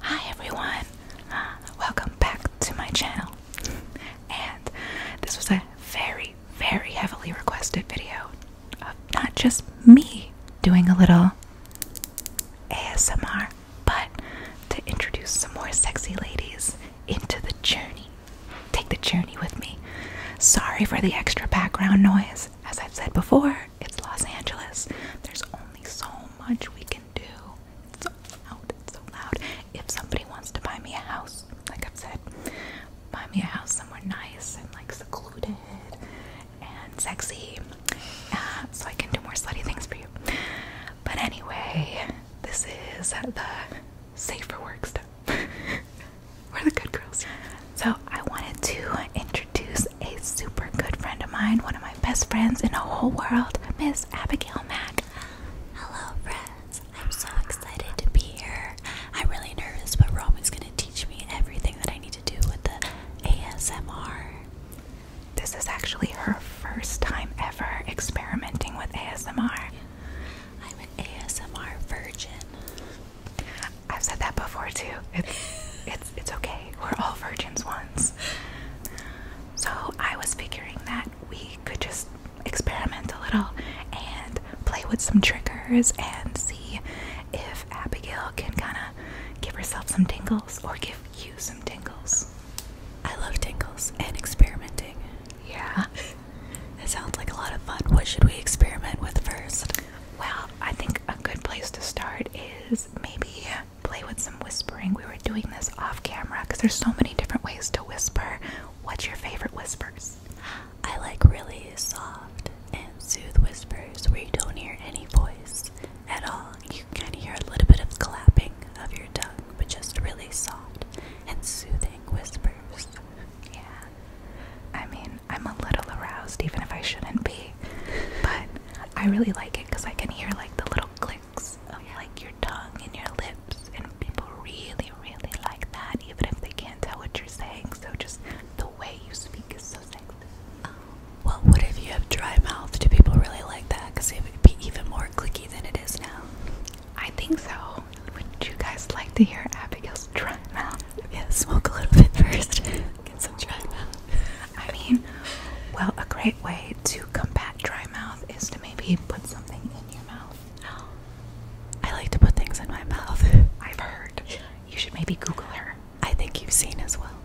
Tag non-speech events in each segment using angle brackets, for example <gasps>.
Hi everyone, uh, welcome back to my channel. And this was a very, very heavily requested video of not just me doing a little ASMR, but to introduce some more sexy ladies into the journey. Take the journey with me. Sorry for the extra background noise. As I've said before, it's Los Angeles. There's only so much we can do. It's so loud. It's so loud. If somebody wants to buy me a house, like i said, buy me a house somewhere nice and like secluded and sexy, uh, so I can do more slutty things for you. But anyway, this is the safer work stuff. We're <laughs> the good girls. So I wanted to introduce a super good friend of mine, one of my best friends in the whole world, Miss Abigail Mac. Hello, friends. I'm so excited to be here. I'm really nervous, but Roman's going to teach me everything that I need to do with the ASMR. This is actually her first time ever experimenting with ASMR. I'm an ASMR virgin. I've said that before too. it's it's okay. We're all virgins once. So I was figuring that we could just experiment a little and play with some triggers and see if Abigail can kind of give herself some tingles or give you some tingles. I love tingles and experimenting. Yeah. <laughs> That sounds like a lot of fun. What should we experiment with first? Well, I think a good place to start is maybe play with some whispering. We were doing this off camera because there's so many different ways to whisper. What's your favorite whispers? I like really soft and soothing whispers where you don't hear any voice at all. You can kind of hear a little bit of clapping of your tongue, but just really soft and soothing whispers. Yeah. I mean, I'm a little aroused even if I shouldn't be. But I really like it because I can hear like the little clicks of like your tongue and your lips, and people really, really like that, even if they can't tell what you're saying. So just the way you speak is so sexy. Um, well, what if you have dry mouth? Do people really like that? Because it would be even more clicky than it is now. I think so. Would you guys like to hear Abigail's dry mouth? Yeah, smoke a little bit <laughs> first can subscribe. I mean, well, a great way to combat dry mouth is to maybe put something in your mouth. I like to put things in my mouth. <laughs> I've heard. You should maybe Google her. I think you've seen as well.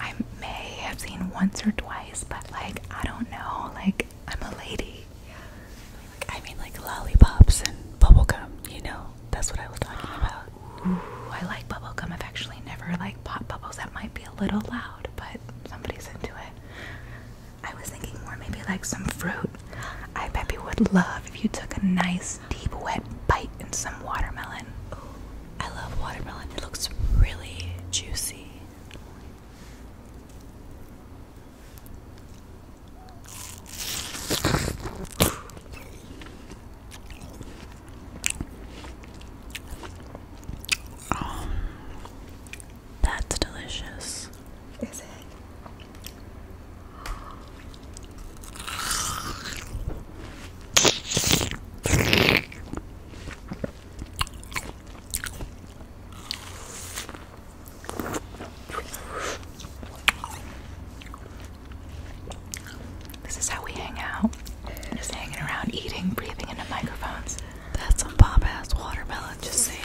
I may have seen once or twice, but like, I don't know. Like, I'm a lady. Yeah. I mean, like lollipops and bubblegum, you know? That's what I was talking about. Ooh, I like bubblegum. I've actually never like pop bubbles. That might be a little loud, but somebody's into it. I was thinking more maybe like some fruit. I bet you would love if you took a nice deep wet bite in some watermelon. Ooh, I love watermelon. It looks really juicy. Oh, that's delicious. Is it? This is how we hang out. Just hanging around, eating, breathing into microphones. That's some pop ass watermelon, just saying.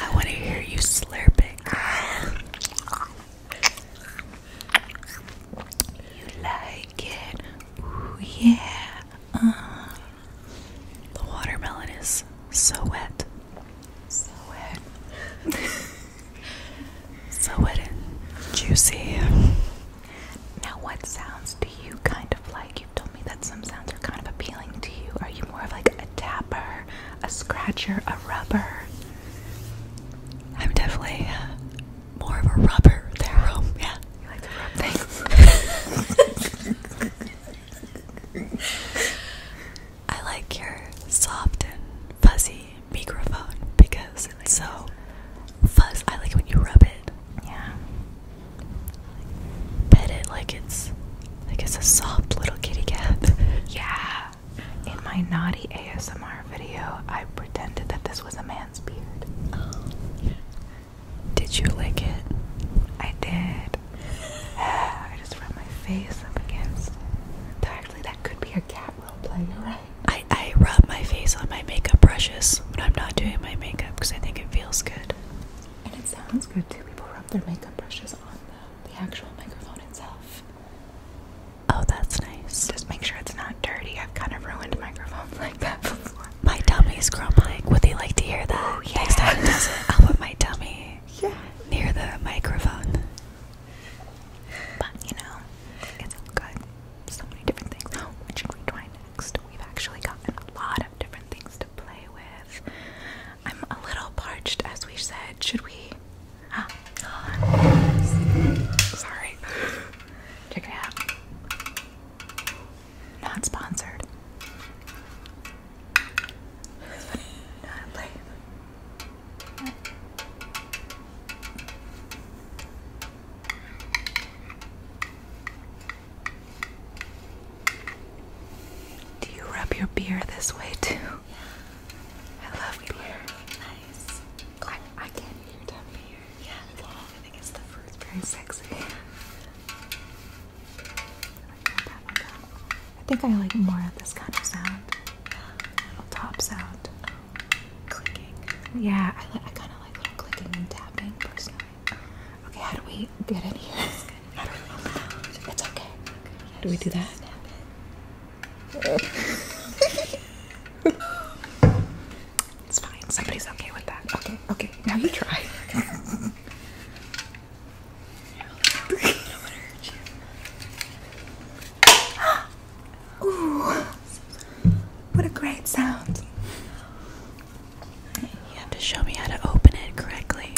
I want to hear you slurping. You like it? Ooh, yeah. Uh-huh. The watermelon is so wet. So wet. <laughs> so wet and juicy. Now, what sounds do you kind of like? You've told me that some sounds are kind of appealing to you. Are you more of like a tapper, a scratcher, a rubber? I'm definitely uh, more of a rubber than a room. Yeah. You like the rub things. <laughs> <laughs> I like your soft and fuzzy microphone because it's so fuzzy. I like it when you rub it. Yeah. Pet it like it's like it's a soft little kitty cat. <laughs> Yeah. In my naughty ASMR video, I pretended that this was a man's beard. Oh. Did you like it? I did. <sighs> I just rubbed my face up against. It. Actually, that could be a cat role You're right. I I rub my face on my makeup brushes when I'm not doing my makeup because I think it feels good. And it sounds good too. People rub their makeup brushes on the actual microphone itself. Oh, that's nice. Just make sure it's not dirty. I've kind of ruined microphones <laughs> like that before. My tummy's grumbling. Would they like to hear that? Oh, yeah. Next time it does it, I'll put my tummy near the microphone. But you know, it's good. So many different things. what should we try next? We've actually gotten a lot of different things to play with. I'm a little parched, as we said. Should we? Ah. Sorry. Check it out. Not sponsored. Do you rub your beer this way too? Yeah. I love beer. Nice. I, I can't hear that beer. Yeah. I think it's the fruit. Very sexy. I think I like more of this kind of sound. Little top sound. Clicking. Yeah, I, li I kind of like little clicking and tapping personally. Okay, how do we get in here? How do we It's okay. do we do that? <laughs> it's fine. Somebody's okay with that. Okay, Okay, now you try. <laughs> Ooh, what a great sound. You have to show me how to open it correctly.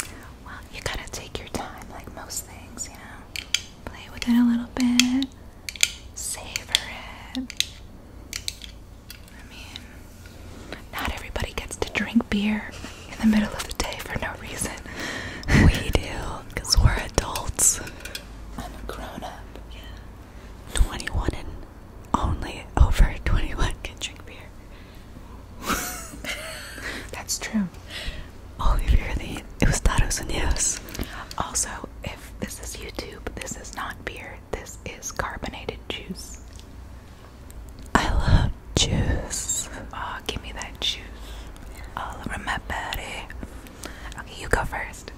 Well, you gotta take your time, like most things, you know. Play with it a little bit, savor it. I mean, not everybody gets to drink beer in the middle of the day for no reason. We do, because we're adults. I'm a grown up. Yeah. 21 and only over 21 can drink beer. <laughs> That's true. Only oh, you're the Eustados and Yes. Also, if this is YouTube, this is not beer, this is carbonated juice. I love juice. Oh, give me that juice all over my body. Okay, you go first.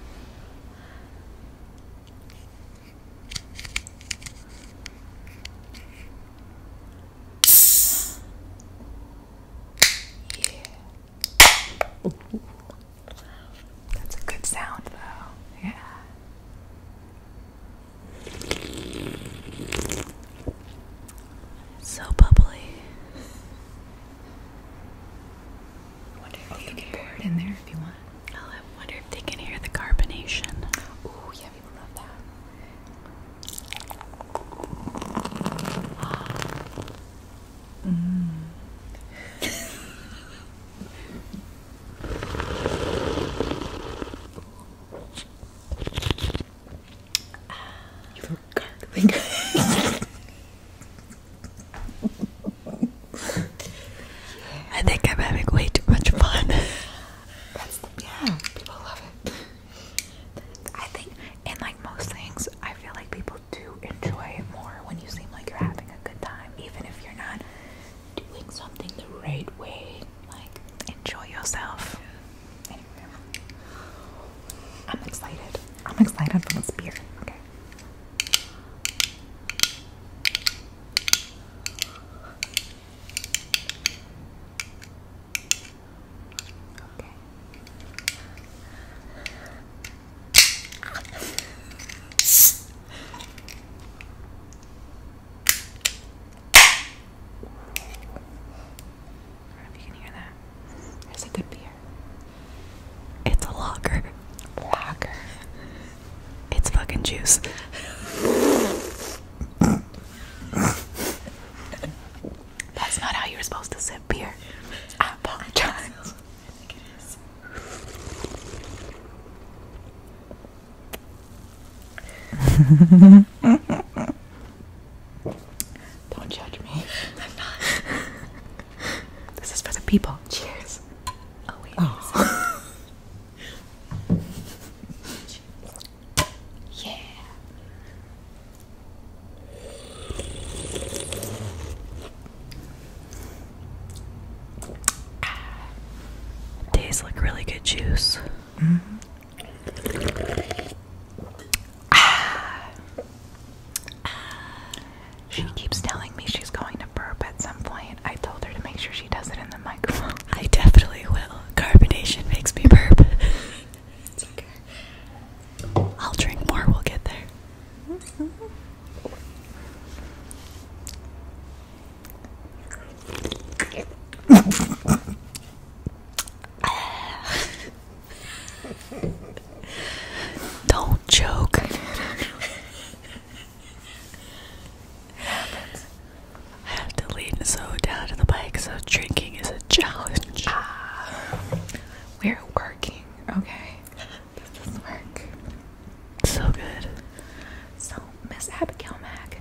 Yeah. That's a good sound, though. Yeah. So bubbly. I wonder if they can hear the carbonation. Ooh, yeah, people love that. Mmm. <gasps> <laughs> I think I'm having way too much fun. That's the, yeah, people love it. I think, in like most things, I feel like people do enjoy it more when you seem like you're having a good time, even if you're not doing something the right way. Like, enjoy yourself. I'm excited. I'm excited for this beer. Okay. Okay. <laughs> I It's a good beer. It's a logger. Lager. It's fucking juice. That's not how you're supposed to sip beer. apologize. I think it is. <laughs> Don't judge me. I'm not. <laughs> This is for the people. Cheers. Oh <laughs> yeah. These look really good juice. She keeps telling me she's going to burp at some point. I told her to make sure she does it in the microphone. <laughs> I definitely will. Carbonation makes me burp. I'll drink more, we'll get there. Mm-hmm. <laughs> Don't joke. <laughs> I have to lean so down to the bike, so drinking is a challenge. we're working, okay? <laughs> This work. So good. So Miss Abigail Mac,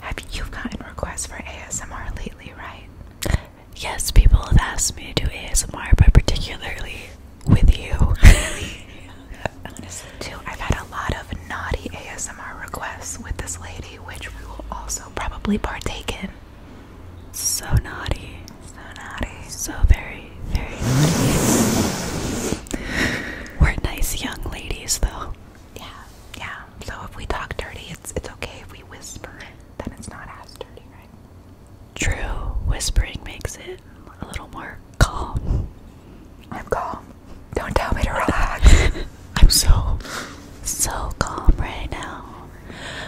have you gotten requests for ASMR lately, right? Yes, people have asked me to do ASMR, but particularly with you. Really? <laughs> Honestly, too, I've had a lot of naughty ASMR requests with this lady, which we will also probably partake in. So naughty. So naughty. So very, very naughty. We're nice young ladies, though. Yeah, yeah. So if we talk dirty, it's it's okay. If we whisper, then it's not as dirty, right? True. Whispering makes it a little more calm. I'm calm. Don't tell me to <laughs> relax. I'm so so calm right now.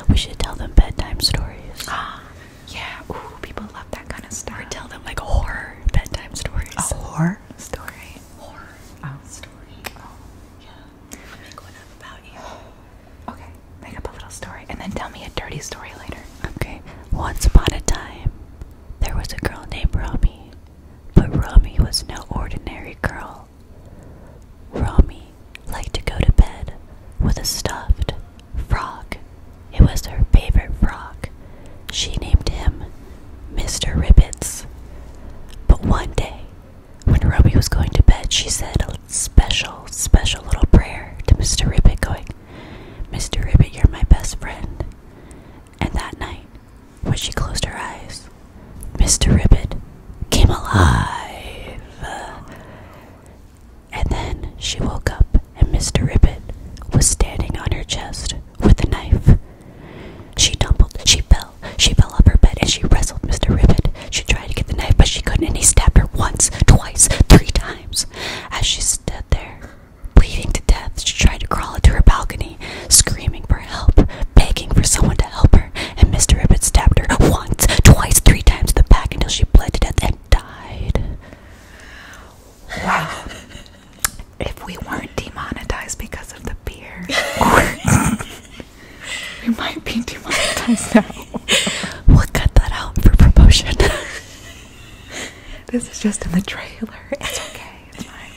We should tell them bedtime stories. Ah, <gasps> yeah. Ooh, people love that kind of stuff. Or tell them like horror bedtime stories. A horror story. Oh. oh. yeah. <sighs> Okay, make up a little story and then tell me a dirty story later. Okay. Once upon a time, there was a girl named Romy, but Romy was no ordinary girl. Romy liked to go to bed with a stuffed frog. It was her favorite frog. She named him Mr. Ribbits. But one day, when Roby was going to bed, she said a special, special little prayer to Mr. Ribbit, going, Mr. Ribbit, you're my best friend. And that night, when she closed her eyes, Mr. Ribbit came alive. And then she woke up, and Mr. Ribbit was standing on her chest with a knife. She tumbled, she fell, she fell off her bed, and she wrestled Mr. Ribbit. She tried to get the knife, but she couldn't, and he stabbed her once, twice, three times. As she stood there, bleeding to death, she tried to crawl into her balcony, screaming for help, begging for someone to help her, and Mr. Ribbit stabbed her once, twice, three times in the back until she bled to death and died. Wow if we weren't demonetized because of the beer, <laughs> we might be demonetized now. we cut that out for promotion. this is just in the trailer. It's okay. It's fine.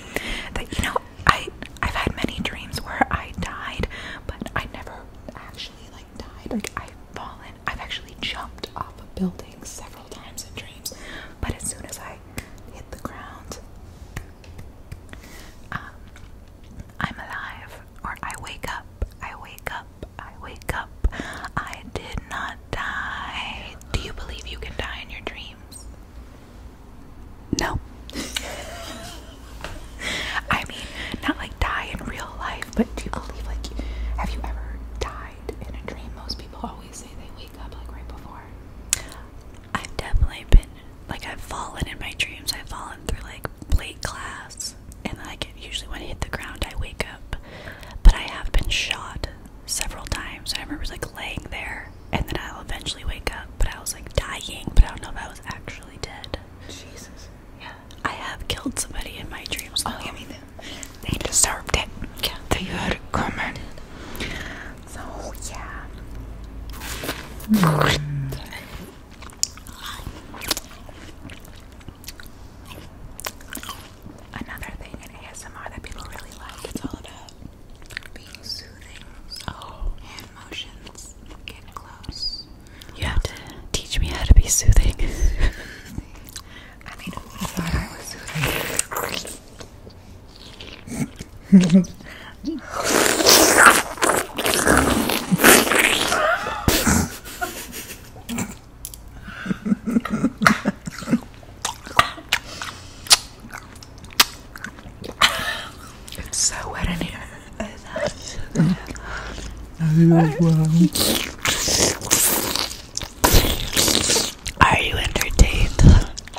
That you know, I I've had many dreams where I died, but I never actually like died. Like I've fallen. I've actually jumped off a building several times in dreams, but as soon as I hit the ground, um, I'm alive, or I wake up, I wake up, I wake up. I did not die. Do you believe you can die in your dreams? No. <laughs> I mean, not like die in real life, but do you believe, like, have you ever died in a dream? Most people always say they wake up, like, right before. I've definitely been like I've fallen in my dreams. I've fallen through like plate glass, and then I get usually when I hit the ground, I wake up. But I have been shot several times. I remember like laying there, and then I'll eventually wake up. But I was like dying, but I don't know if I was actually dead. Jesus. Yeah. I have killed somebody in my dreams. Oh, yeah, they deserved it. Yeah. They had it coming. So yeah. Hmm. Another thing in ASMR that people really like, it's all about being soothing. Hand oh. motions. Get close. You have to teach me how to be soothing. <laughs> it's so wet in here. Are you entertained?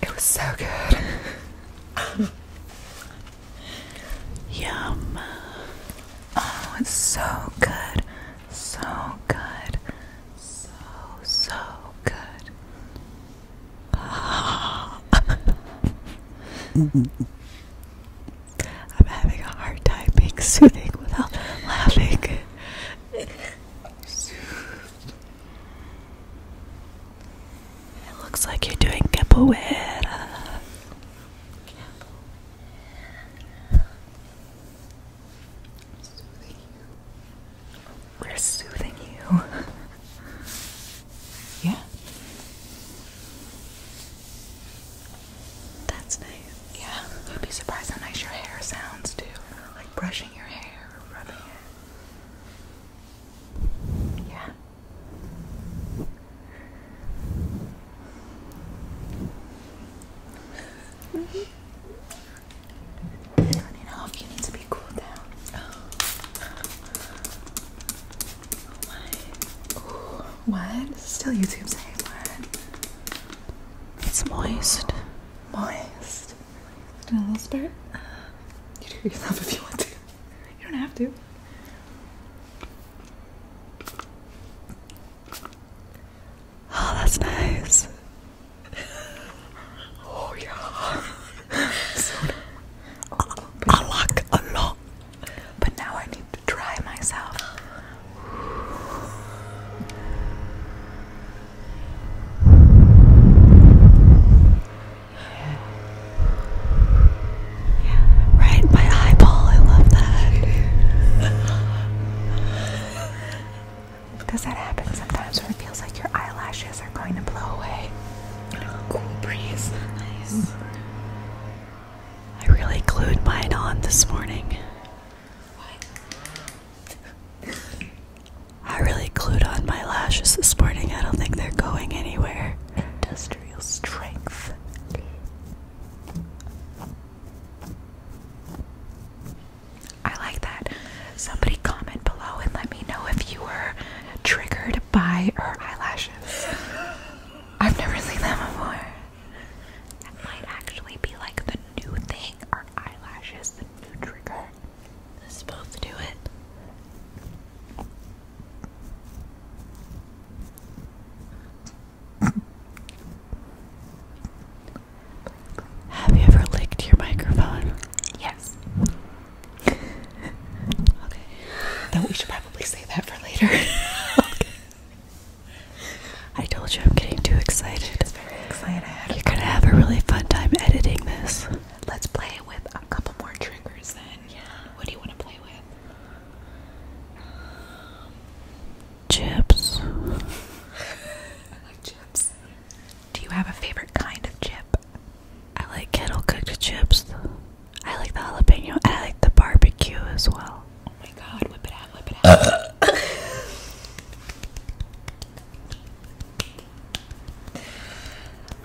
it was so good. Yum. Oh, it's so good. So good. So, so good. I'm having a hard time being soothing without laughing. It looks like you're doing capoeira. We're soothing you. <laughs> yeah. That's nice. Yeah. You'd be surprised how nice your hair sounds too. Like brushing your hair or rubbing Yeah. <laughs> Turn it you need to be cooled down. Oh, oh my. what? still YouTube saying what? It's moist. Moist. Do a little spurt? You do yourself if you want to. You don't have to. Oh, that's nice. oh, yeah. so, oh, a lot. But now I need to try myself. Yeah. Right, my eyeball, I love that. Does that happen sometimes when it feels like your eyelashes are going to blow away? cool breeze. Nice. Mm-hmm. I really glued mine on this morning. What? I really glued on my lashes this morning. I don't think they're going anywhere. Industrial strength. I like that. Somebody comment below and let me know if you were triggered by her eyelashes. <laughs> I've never seen that before. That might actually be like the new thing. Our eyelashes, the new trigger. This is supposed to do it. Have you ever licked your microphone? Yes. okay. Then we should probably say that for later. <laughs> I told you I'm getting too excited. It's very excited. You're gonna have a really fun time editing this. Let's play with a couple more triggers then. Yeah. What do you want to play with? chips. I <laughs> like chips. Do you have a favorite kind of chip? I like kettle cooked chips. I like the jalapeno. And I like the barbecue as well. Oh my god, whip it out, whip it <coughs> out.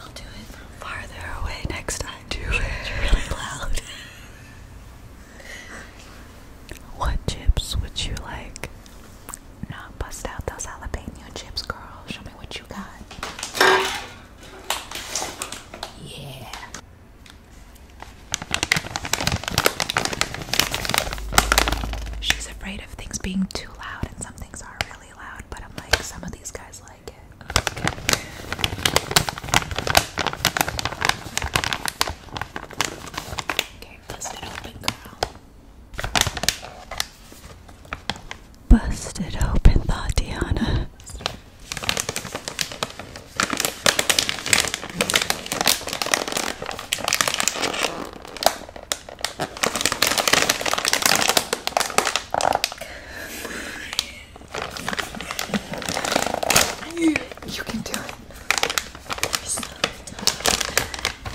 I'll do it from farther away next time. Do it. It's really loud. <laughs> what chips would you like? No, bust out those jalapeno chips, girl. Show me what you got. Yeah. She's afraid of things being too loud, and some things are really loud, but I'm like, some of these guys like it. Okay, bust it open, girl. Busted open, thought Diana. You, can do it. So tight.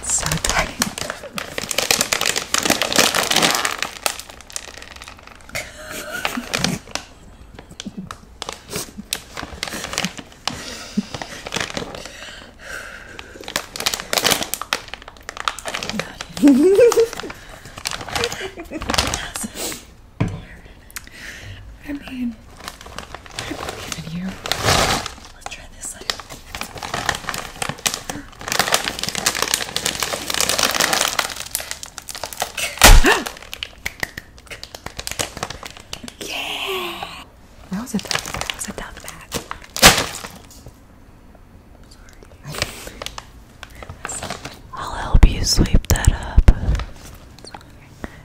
So tight. I mean, I believe in you. <gasps> yeah! That was a that was a tough <laughs> I'll help you sweep that up.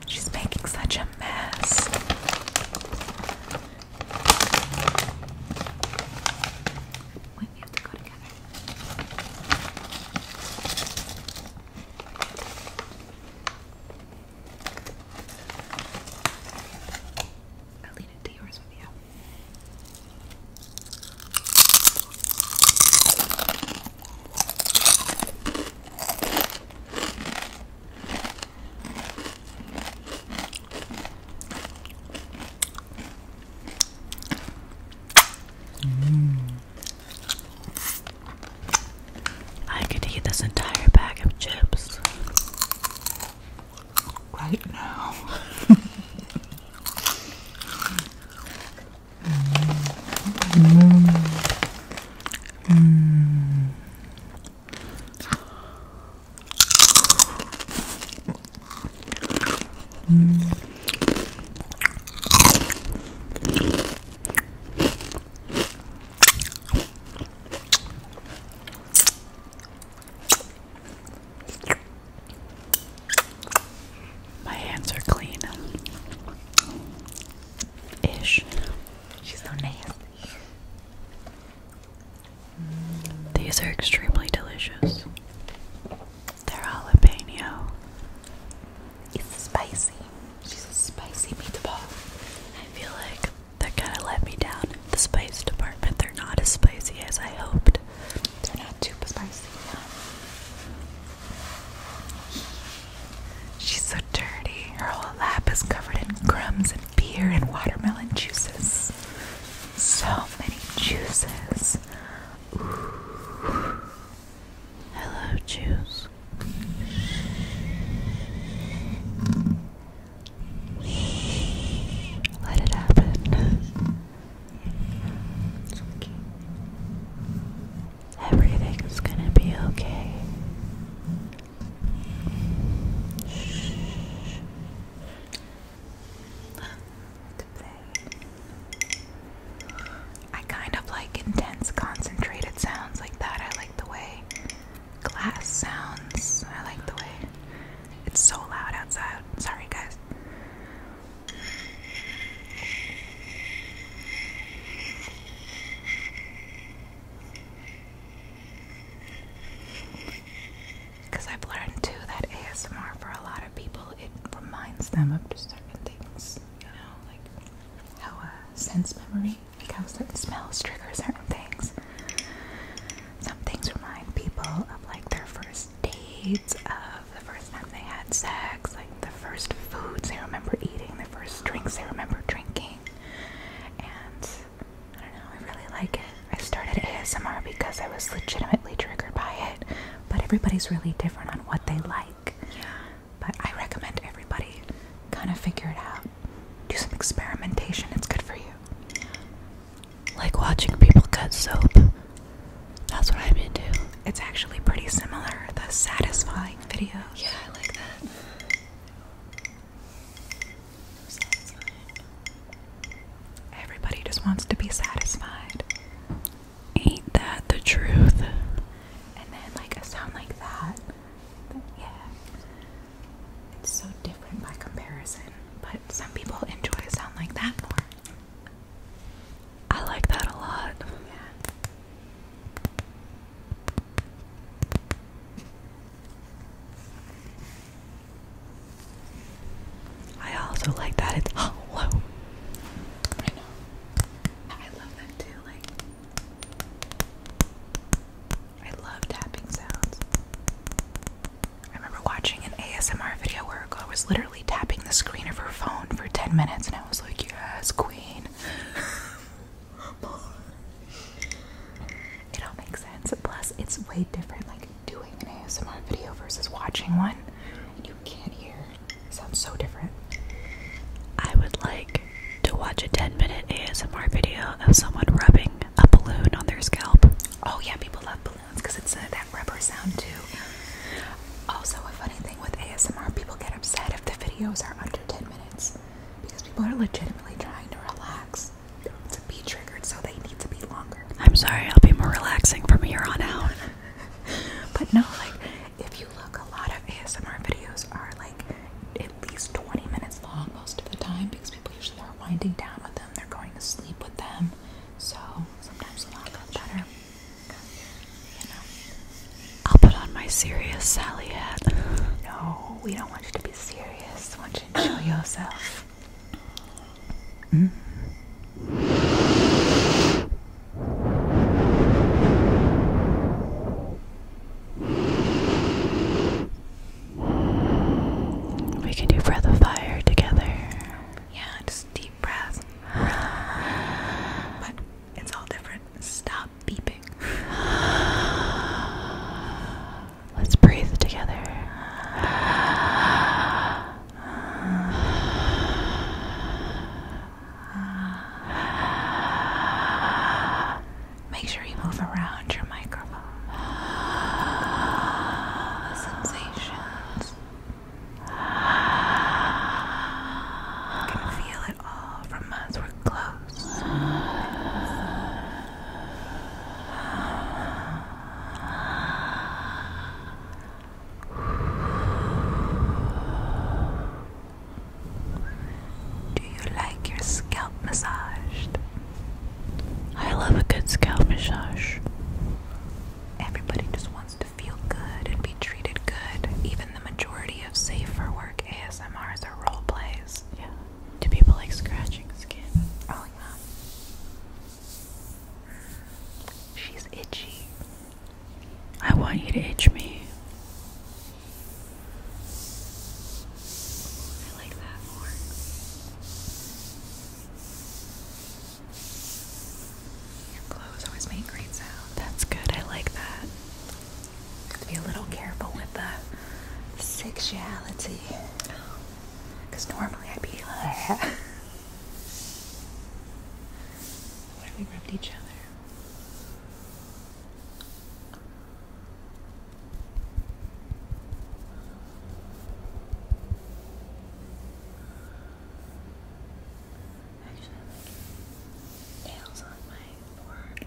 She's making such a mess. we have to go together. I'll lean into yours with you. Mm. I could eat this entire bag of chips right now. <laughs> Mm. Mm. Mm. My hands are clean. Ish. She's so nasty. These are extremely delicious. They're jalapeno. It's spicy. She's a spicy meatball. I feel like that kind of let me down the spice department. They're not as spicy as I hoped. They're not too spicy. She's so dirty. Her whole lap is covered in crumbs and beer and watermelon juices. So many juices. I love juice. Let it happen. It's okay. Everything's gonna be okay. I kind of like intense, concentrated sounds like that. I like the way glass sounds. I like the way it's so loud outside. Sorry, guys. Because I've learned too that ASMR for a lot of people it reminds them of just certain things, you know, like how a uh, sense memory, like how smells trigger certain things. Some things remind people of like their first dates, of the first time they had sex, like the first foods they remember eating, the first drinks they remember drinking and I don't know, I really like it. I started ASMR because I was legitimately triggered by it, but everybody's really different on what they like. Yeah. But I recommend everybody kind of figure it out. Do some experimentation, it's good for you. Like watching people cut soap. That's what I'm into. It's actually pretty similar, the satisfying video. Yeah, I like that. Everybody just wants to be satisfied. Ain't that the truth? And then, like, a sound like that. yeah. It's so different by comparison. But some people enjoy a sound like that more. I like that a lot. I also like that it's hollow. I know. I love that too. Like, I love tapping sounds. I remember watching an ASMR video where a girl was literally tapping the screen of her phone for 10 minutes, and I was like, Yes, queen. <laughs> It all makes sense. Plus, it's way different like doing an ASMR video versus watching one. you can't hear. sounds so different. I would like to watch a 10 minute ASMR video of someone rubbing a balloon on their scalp. Oh, yeah, people love balloons because it's uh, that rubber sound too. Also, a funny thing with ASMR, people get upset if the videos are under 10 minutes because people are legitimately trying to relax um, to be triggered, so they need to be longer. I'm sorry, I'll be more relaxing from here on out. <laughs> but no, like if you look, a lot of ASMR videos are like at least 20 minutes long most of the time because people usually are winding down with them, they're going to sleep with them, so sometimes a lot longer better. You know. I'll put on my serious Sally hat. <laughs> No, we don't want you to be serious. We want you to show yourself. We can do breath of fire together. Yeah, just deep breath. But it's all different. Stop beeping. <gasps> Let's breathe together. Make sure you move around your microphone. sensations. can feel it all from us. We're close. Do you like your scalp massaged? I love a good scalp massage. Everybody just wants to feel good and be treated good. Even the majority of safe for work ASMRs are role plays. Yeah. Do people like scratching skin? I like that. She's itchy. I want you to itch me. I like that more. Your clothes always make great sound. That's good. I like that. Have to be a little careful with the sexuality. Because normally I'd be like. <laughs> what we rubbed each other? nails on my forehead.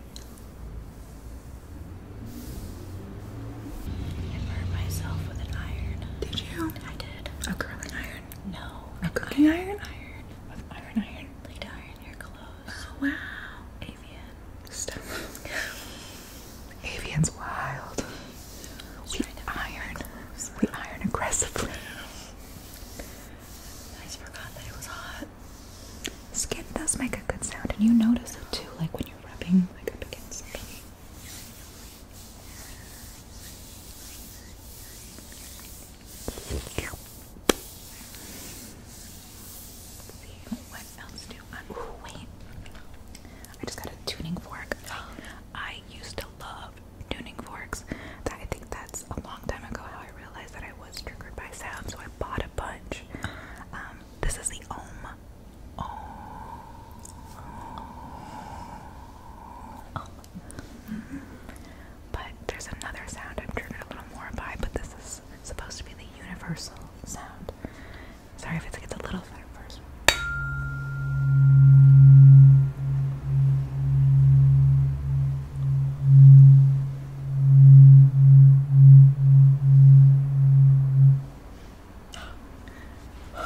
I burned myself with an iron. Did you? I did. A curling iron? No. A cooking iron? Iron. With iron iron. Like to iron your clothes. Oh wow. Avian. Stuff. Avian's wild. Just we iron. We iron aggressively. I just forgot that it was hot. Skin does make a good sound, and you notice it too, like when you're rubbing like against something. What else do I? Ooh, wait! I just got a tuning fork. I used to love tuning forks. I think that's a long time ago how I realized that I was triggered by sound, so I bought a bunch much. Um, this is the Om. Om. Om. Mm -hmm. But there's another sound I'm triggered a little more by, but this is supposed to be the universal sound. Sorry if it gets a little fun at first.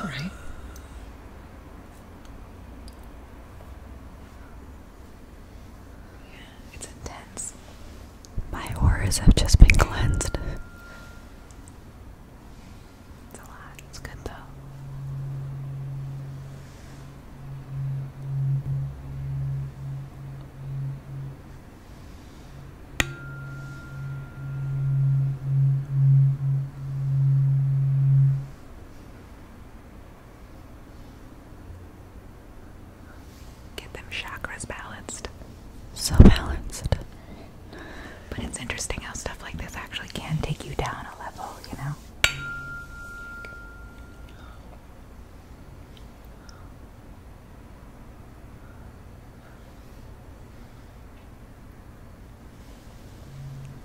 Right? Yeah, it's intense. My auras have just been cleansed. It's a lot. It's good though. Get them chakras balanced. So balanced. But it's interesting how stuff like this actually can take you down a level, you know?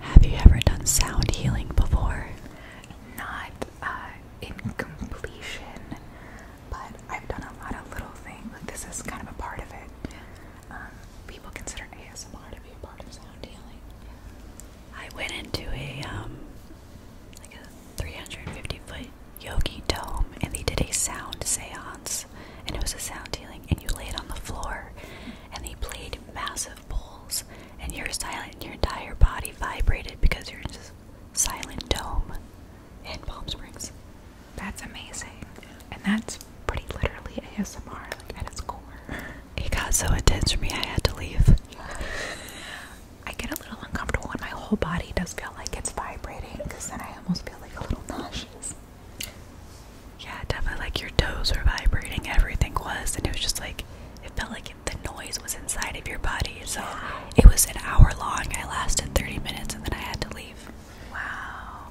Have you ever done sound healing before? Not uh, in completion, but I've done a lot of little things. Like this is kind of a part of it. Um, people consider ASMR to be a part of sound healing. I went into a um, like a 350 foot Yogi Dome and they did a sound seance and it was a sound healing and you laid on the floor and they played massive bowls and you're silent and your entire body vibrated because you're in this silent dome in Palm Springs. That's amazing. And that's pretty literally ASMR like at its core. It got so intense for me I had to leave. <laughs> I get a little uncomfortable and my whole body does feel like it's vibrating because then I almost feel like a little nauseous. Yeah, definitely like your toes were vibrating, everything was, and it was just like it felt like the noise was inside of your body. So it was an hour long. I lasted 30 minutes and then I had to leave. Wow.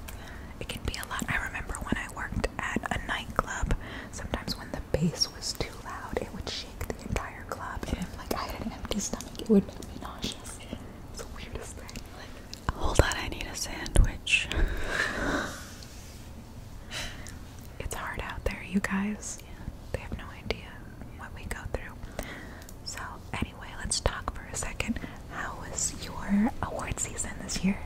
It can be a lot. I remember when I worked at a nightclub, sometimes when the bass it was too loud, it would shake the entire club. And if like I had an empty stomach, it would make me nauseous. It's the weirdest thing. Like, hold on, I need a sandwich. <laughs> it's hard out there, you guys. Yeah. They have no idea what we go through. So anyway, let's talk for a second. How was your award season this year?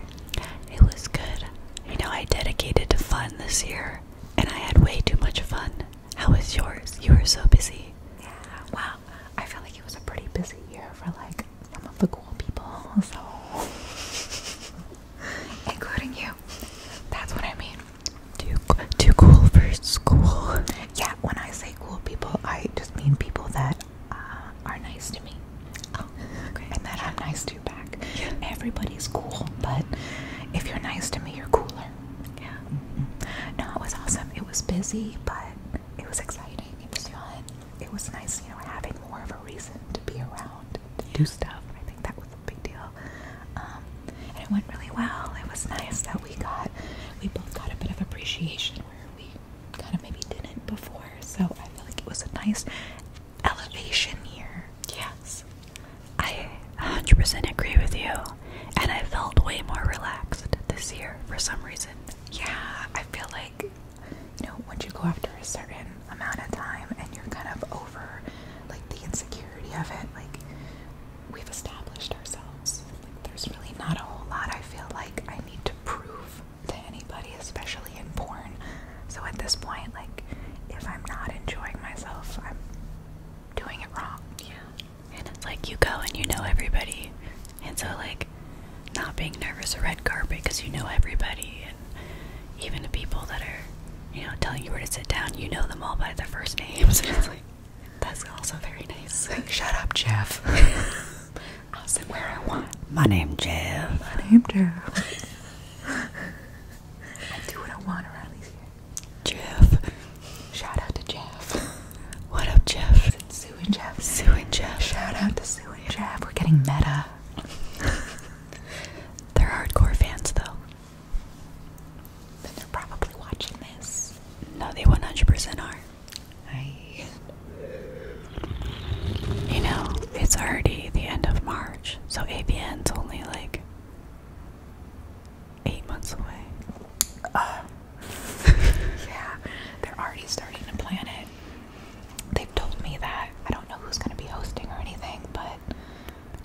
It was good. You know, I dedicated to fun this year, and I had way too much fun. How was yours? You were so busy. Yeah. Wow. I feel like it was a pretty busy year for like some of the cool people. So, <laughs> including you. That's what I mean. Too too cool for school. Yeah. When I say cool people, I just mean people that uh, are nice to me. Oh, and that I'm nice to back. Everybody's cool, but if you're nice to me, you're cooler. Yeah. No, it was awesome. It was busy, but it was exciting. It was fun. It was nice, you know, having more of a reason to be around, to do stuff. I think that was a big deal. Um, and it went really well. It was nice that we got, we both got a bit of appreciation where we kind of maybe didn't before. So I feel like it was a nice elevation here. Yes. I 100% agree with you, and I felt way more relaxed this year for some reason. Yeah, I feel like, you know, once you go after a certain amount of time and you're kind of over like the insecurity of it, like we've established ourselves. Like, there's really not a whole lot I feel like I need to prove to anybody, especially in porn. So at this point, like, if I'm not enjoying myself, I'm doing it wrong. Yeah and it's like you go and you know everybody, and so like not being nervous a red carpet because you know everybody, and even the people that are you know telling you where to sit down, you know them all by their first names. <laughs> and it's like that's also very nice. Shut up, Jeff. <laughs> I'll sit where I want. My name Jeff. My name Jeff. <laughs> I do what I want around these here. Jeff. Shout out to Jeff. <laughs> What up, Jeff? It's Sue and Jeff. Sue and Jeff. Shout out to Sue and Jeff. We're getting meta. <laughs> they're hardcore fans, though. Then they're probably watching this. No, they 100% are. I. You know, it's already the end of March, so ABN's only like eight months away. <laughs> yeah, they're already starting to plan it. They've told me that. I don't know who's going to be hosting or anything, but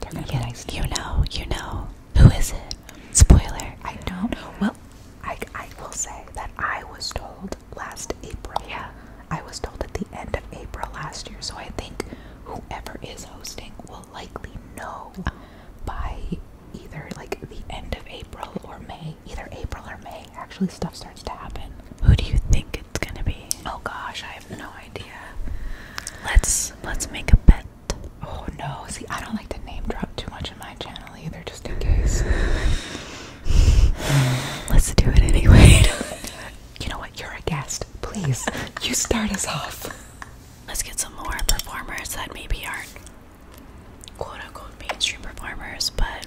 they're going to be nice. You know, you know. Who is it? Spoiler. I don't. Well, I, I will say that I was told last April. Yeah. I was told at the end of April last year, so I think whoever is hosting will likely no by either like the end of April or May. Either April or May, actually, stuff starts to happen. Who do you think it's gonna be? Oh gosh, I have no idea. Let's let's make a bet. Oh no, see, I don't like to name drop too much in my channel either, just in case. <sighs> Let's do it anyway. <laughs> you know what? You're a guest. Please, <laughs> you start us off. Let's get some more performers that maybe aren't quote unquote mainstream performers, but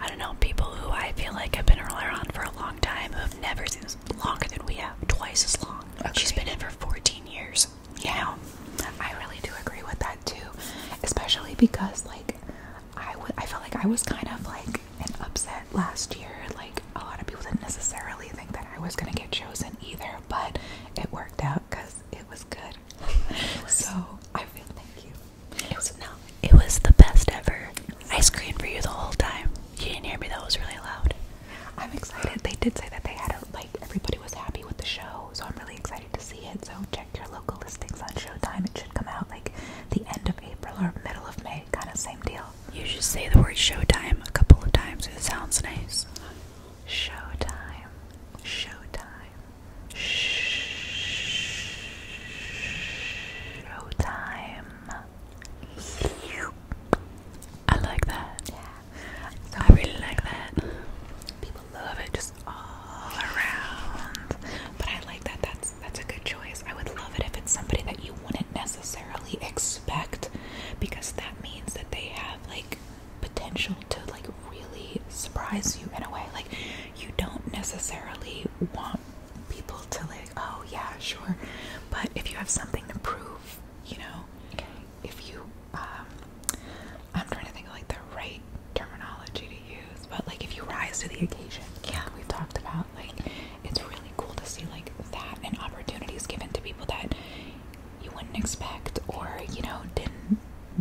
I don't know, people who I feel like have been around for a long time who've never seen this longer than we have, twice as long. She's been in for 14 years. Yeah. I really do agree with that too, especially because like I, I felt like I was kind of like an upset last year. Like a lot of people didn't necessarily think that I was gonna get chosen either, but it worked out because it was good. So I feel thank you. It was no, it was the best ever. I screamed for you the whole time. You didn't hear me. That was really loud. I'm excited. They did say that they had a, like everybody was happy with the show, so I'm really excited to see it. So check your local listings on Showtime. It should come out like the end of April or middle of May, kind of same deal. You should say the word showtime a couple of times. It sounds nice. Showtime. Showtime. Showtime. I like that. Yeah. I really like that. People love it just all around. But I like that. That's that's a good choice. I would love it if it's somebody that you wouldn't necessarily necessarily expect because that means that they have like potential to like really surprise you in a way like you don't necessarily want people to like oh yeah sure but if you have something to prove you know okay. if you um i'm trying to think of like the right terminology to use but like if you rise to the occasion yeah we've talked about like it's really cool to see like that and opportunities given to people that you wouldn't expect, or you know, didn't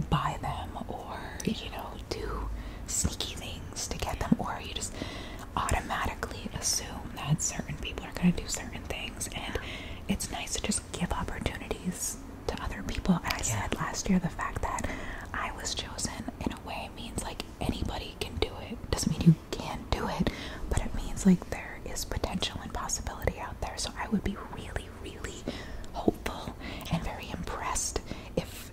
buy them, or you know, do sneaky things to get them, or you just automatically assume that certain people are going to do certain things. And it's nice to just give opportunities to other people. And I said last year the fact that I was chosen in a way means like anybody can do it. Doesn't mean you can't do it, but it means like there is potential and possibility out there. So I would be really, really hopeful and very impressed if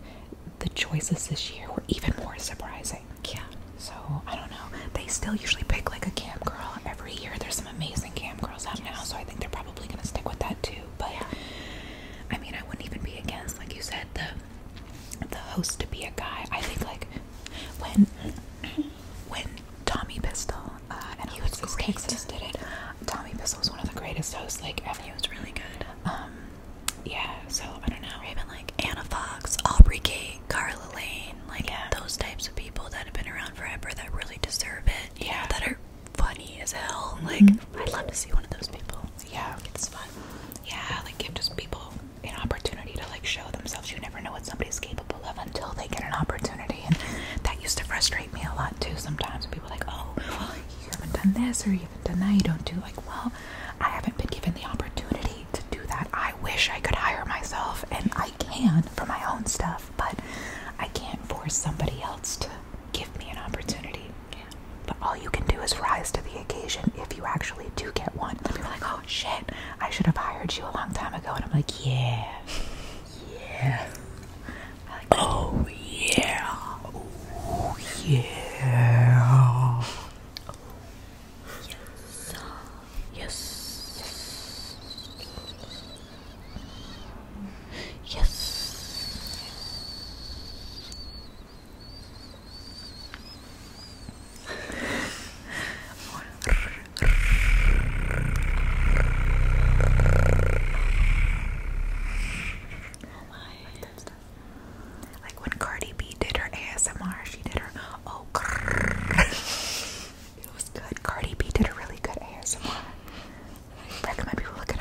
the choices this year were even more surprising. Yeah. So I don't know. They still usually pick like a cam girl every year. There's some amazing cam girls out now, so I think they're probably gonna stick with that too. But yeah. I mean, I wouldn't even be against, like you said, the the host to be a guy. I think like when when Tommy Pistol, uh, and he was great. Texas did it. Tommy Pistol was one of the greatest hosts like ever. He was really good. Um, yeah. So I don't know. Even like Anna Fox, Aubrey Kate, Carla Lane, like those types of people that have been around forever that really deserve it. Yeah. that are funny as hell. Like mm-hmm. I'd love to see one of those people. Yeah. It's fun. Yeah. Like give just people an opportunity to like show themselves. You never know what somebody's capable of until they get an opportunity, and that used to frustrate me a lot too. Sometimes people like, oh, well, you haven't done this or you haven't done that. You don't do like, well, I haven't been given the opportunity to do that. I wish I could hire myself, and I can for my own stuff, but I can't force somebody else to give me an opportunity. Yeah. But all you can do is rise to the occasion if you actually do get one people like, oh shit, I should have hired you a long time ago. And I'm like, yeah, yeah. oh yeah, oh yeah. Yes. Yes. Yes. Oh my. Like when Cardi B did her ASMR, she did her oh <laughs> It was good. Cardi B did a really good ASMR. recommend people look it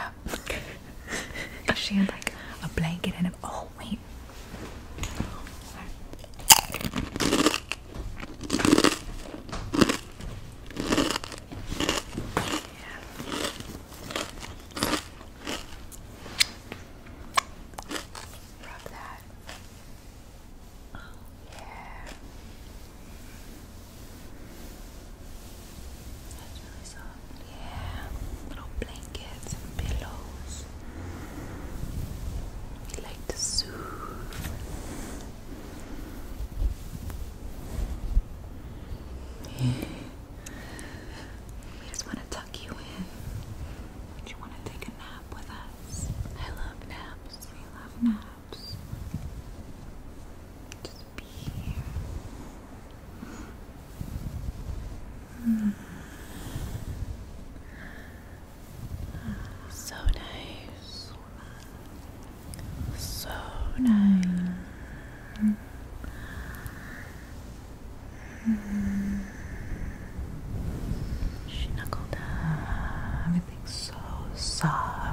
up. <laughs> she had like a blanket and a oh wait. Rub that. Oh, yeah. That's really soft. Yeah. Little blankets and pillows. We like to soothe. We just want to tuck you in. Would you want to take a nap with us? I love naps. We love naps. Just be here. Hmm. So nice. So nice. She knuckled up. so soft.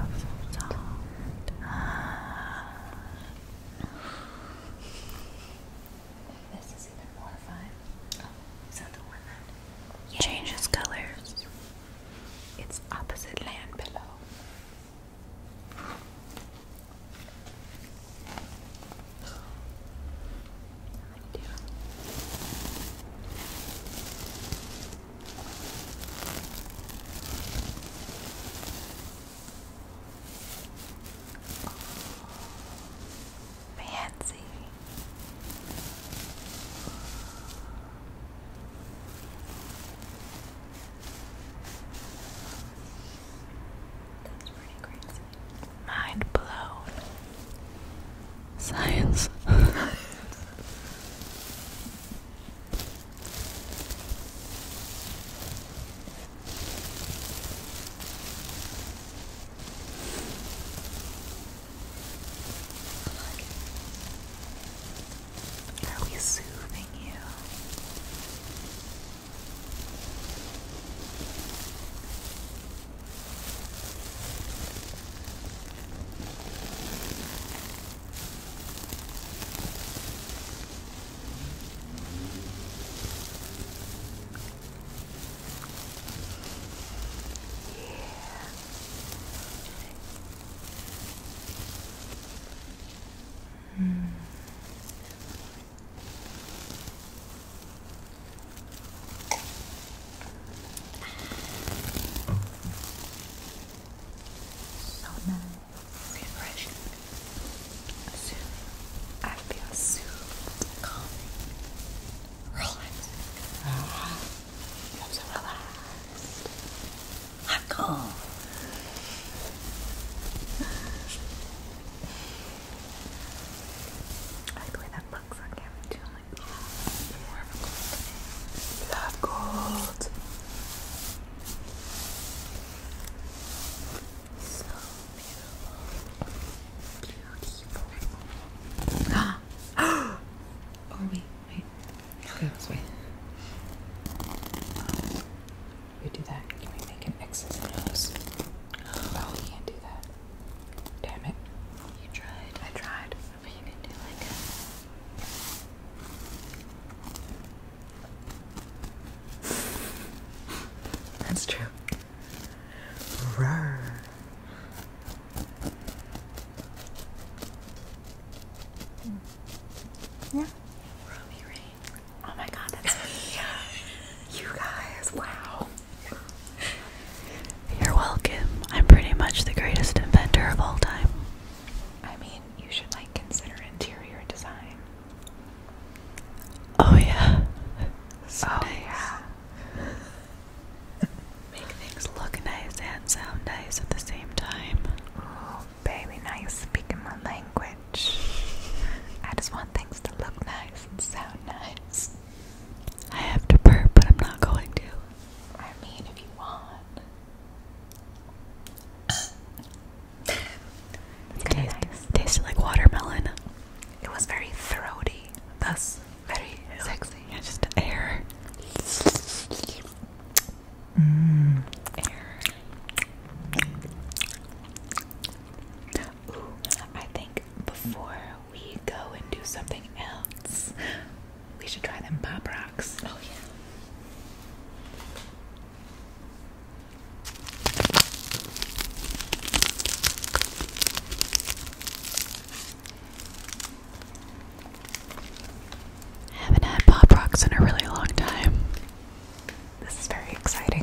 This is even more fun. is that the one Changes colors. It's opposite land below. Fancy. crazy. Mind blown. Science. <laughs> <laughs> Are we soothing you? Yeah. Mm. So nice. Refreshing. Soon. I feel soothed, calming relaxed. I'm so relaxed. I'm calm. I play that box on camera I'm like, oh, love gold. So beautiful. Ah! <gasps> oh wait, wait. this way. we do that. Can we make an X's and O's? Oh, we can't do that. Damn it. You tried. I tried. But you can do like that's true. Rawr. Yeah. Robbie Rain. Oh my god, that's me. <laughs> you guys, wow. <laughs> You're welcome. I'm pretty much the greatest inventor of all time. I mean, you should like consider interior design. Oh yeah. So oh, yeah. Make things look nice and sound nice at the same time. Ooh, baby, now you're speaking my language. I just want things to look nice and sound nice. I have to burp, but I'm not going to. I mean, if you want. It tasted, tasted like watermelon. It was very throaty, thus very sexy. just air. Mmm, air. Ooh, I think before we go and do something else, we should try them pop rocks. Oh yeah. I haven't had Pop Rocks in a really long time. This is very exciting.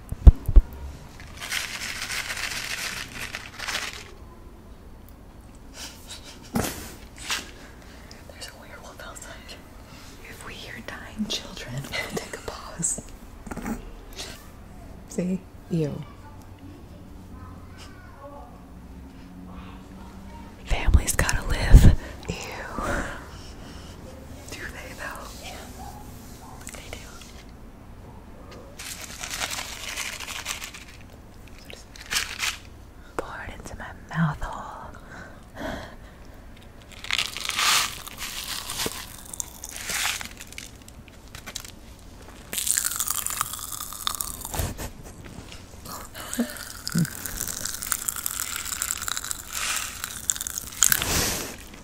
There's a werewolf outside. If we hear dying children, <laughs> take a pause. See? You. Families gotta live. Do they though? Yeah. They do. Pour it into my mouth hole. <laughs>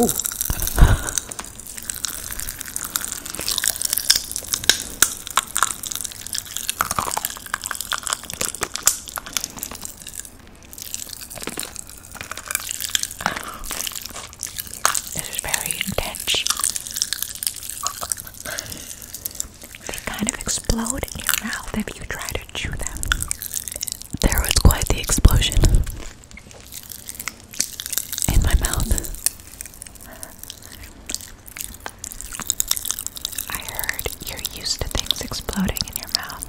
Oh, This is very intense. They kind of explode in your mouth if you try to chew them. There was quite the explosion in my mouth. I heard you're used to things exploding in your mouth.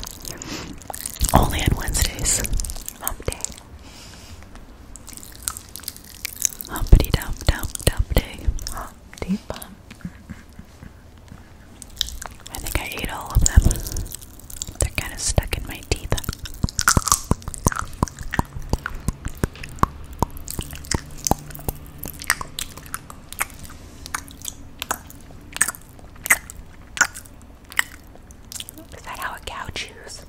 Only on Wednesdays. Hump Humpty dump dump dump Humpty bump. I think I ate all of them. They're kind of stuck in my teeth. Is that how a cow chews?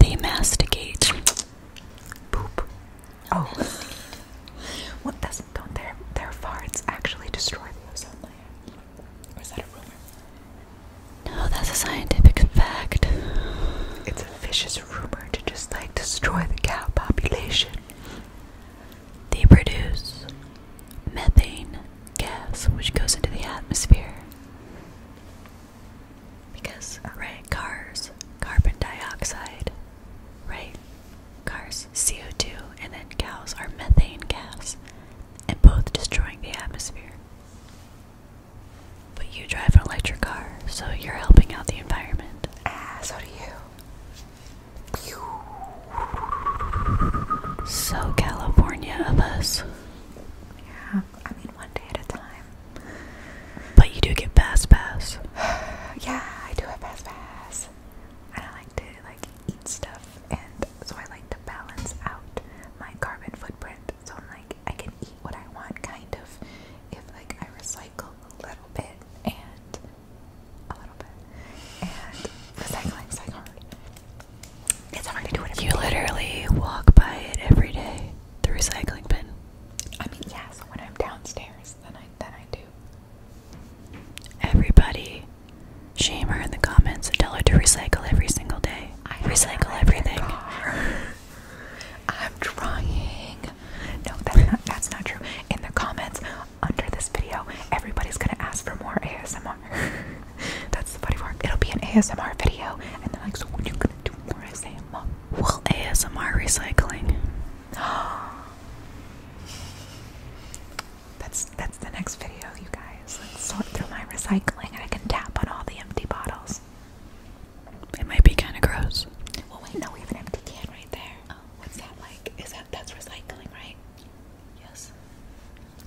They, masticate poop. Oh, what doesn't don't their their farts actually destroy the ozone layer? is that a rumor? No, that's a scientific fact. It's a vicious rumor to just like destroy the cow population. They produce methane gas, which goes into the atmosphere. Because, right, cars, carbon dioxide Right? Cars, CO2, and then cows are methane gas, and both destroying the atmosphere. But you drive an electric car, so you're helping out the environment. Ah, so do you. So, California of us. Yeah, I mean, one day at a time. But you do get Fast Pass. <sighs> yeah, I do have Fast Pass because I like to like eat stuff and so I like to balance out my carbon footprint. So I'm like I can eat what I want kind of if like I recycle a little bit and a little bit. And recycling's like hard. It's hard to do it. You literally walk by it every day, the recycling bin. I mean, yeah. So when I'm downstairs, then I then I do. Everybody, shame her in the comments and tell her to recycle every single day. I recycle everything. <laughs> I'm trying. No, that's not, that's not true. In the comments under this video, everybody's gonna ask for more ASMR. <laughs> that's the funny part. It'll be an ASMR video, and they're like, "So when are you gonna do more ASMR?" Well, ASMR recycling. <gasps> <gasps> <gasps> That's that's the next video, you guys. Let's sort through my recycling and I can tap on all the empty bottles. It might be kinda gross. Well wait, no, we have an empty can right there. Oh, what's that like? Is that that's recycling, right? Yes.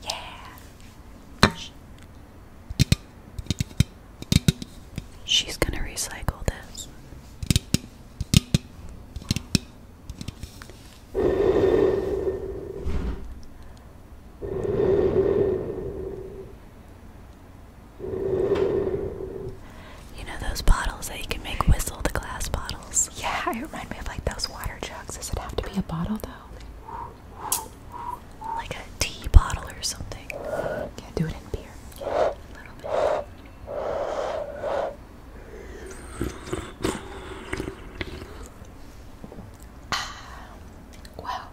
Yeah. She's gonna recycle this. You know those bottles that you can make whistle, the glass bottles? Yeah, it reminds me of like those water jugs. Does it have to be a bottle though? Like a tea bottle or something. Yeah, do it in beer. Well,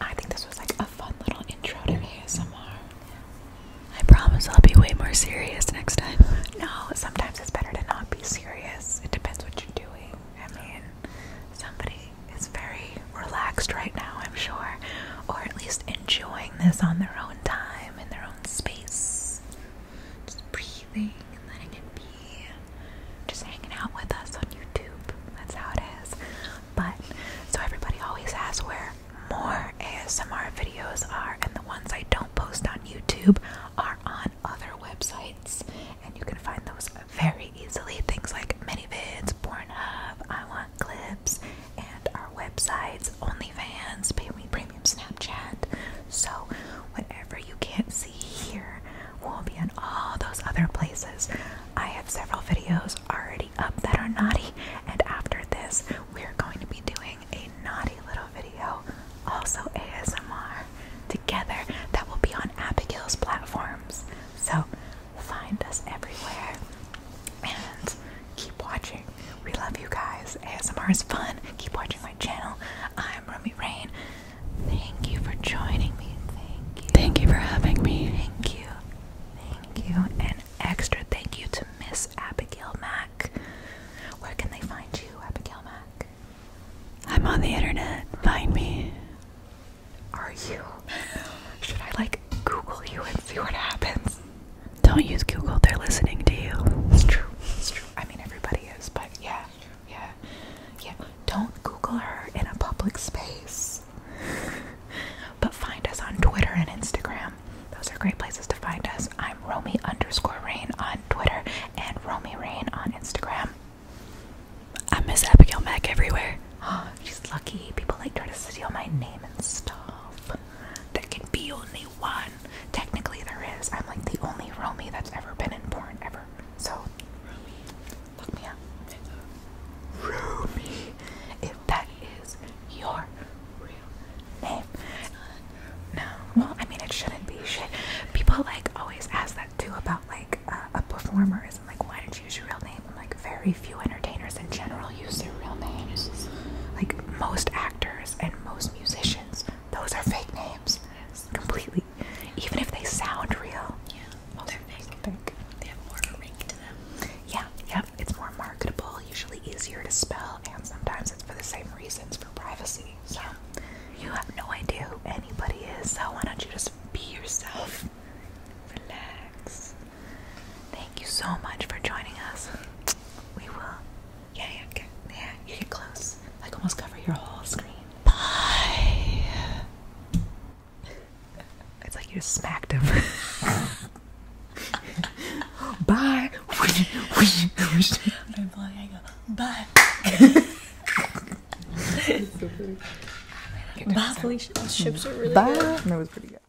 I think this was like a fun little intro to ASMR. I promise I'll be way more serious next time. <laughs> No, sometimes it's better to not be serious. It depends what you're doing. I mean, somebody is very relaxed right now, I'm sure, or at least enjoying this on their own time in their own space. Just breathing and letting it be. Just hanging out with us on YouTube. That's how it is. But so everybody always asks where more ASMR videos are, and the ones I don't post on YouTube are on other websites, and you can find those very easily. Things like MiniVids, Pornhub, I want clips and our websites, OnlyFans, Pay Me Premium Snapchat. So, whatever you can't see here will be in all those other places. I have several videos already up that are naughty, and after this, we're going to be doing a naughty little video, also ASMR, together that will be on Abigail's platforms. So, find us everywhere. And keep watching. We love you guys. ASMR is fun. Keep watching my channel. I'm Romy Rain. Thank you for joining me. Thank you. Thank you for having me. Thank you. Thank you. And extra thank you to Miss Abigail Mac. Where can they find you, Abigail Mac? I'm on the internet. Find me. Are you? Should I like Google you and see what happens? Don't use Google, they're listening to you. It's true, it's true. I mean, everybody is, but yeah, yeah, yeah. Don't Google her in a public space. but find us on Twitter and Instagram. Those are great places to find us. I'm Romy underscore Rain on Twitter and Romy Rain on Instagram. I miss Abigail Mack everywhere. Oh, <gasps> she's lucky. People like try to steal my name and stuff. There can be only one. Technically, there is. I'm like the only Romy that's ever been in porn ever. So, Romy. look me up. Romy. If that is your real name. No. Well, I mean, it shouldn't be shit. People like always ask that too about like uh, a performer. Isn't like, why did you use your real name? like very few entertainers in general use their real names. Like most actors and most musicians, those are fake names. Completely. Even if they sound real. Yeah. Most they're fake. fake. They have more ring to them. Yeah, yeah. It's more marketable, usually easier to spell, and sometimes it's for the same reasons for privacy. So you have no idea who anybody is, so why don't you just be yourself? Relax. Thank you so much for joining us. We will. Yeah, yeah, yeah. You get close. Like almost cover your whole screen. Bye. <laughs> It's like you just smacked him. <laughs> Bye. <laughs> I'm like, I go, bye. so Bye, Bye. good. was pretty good.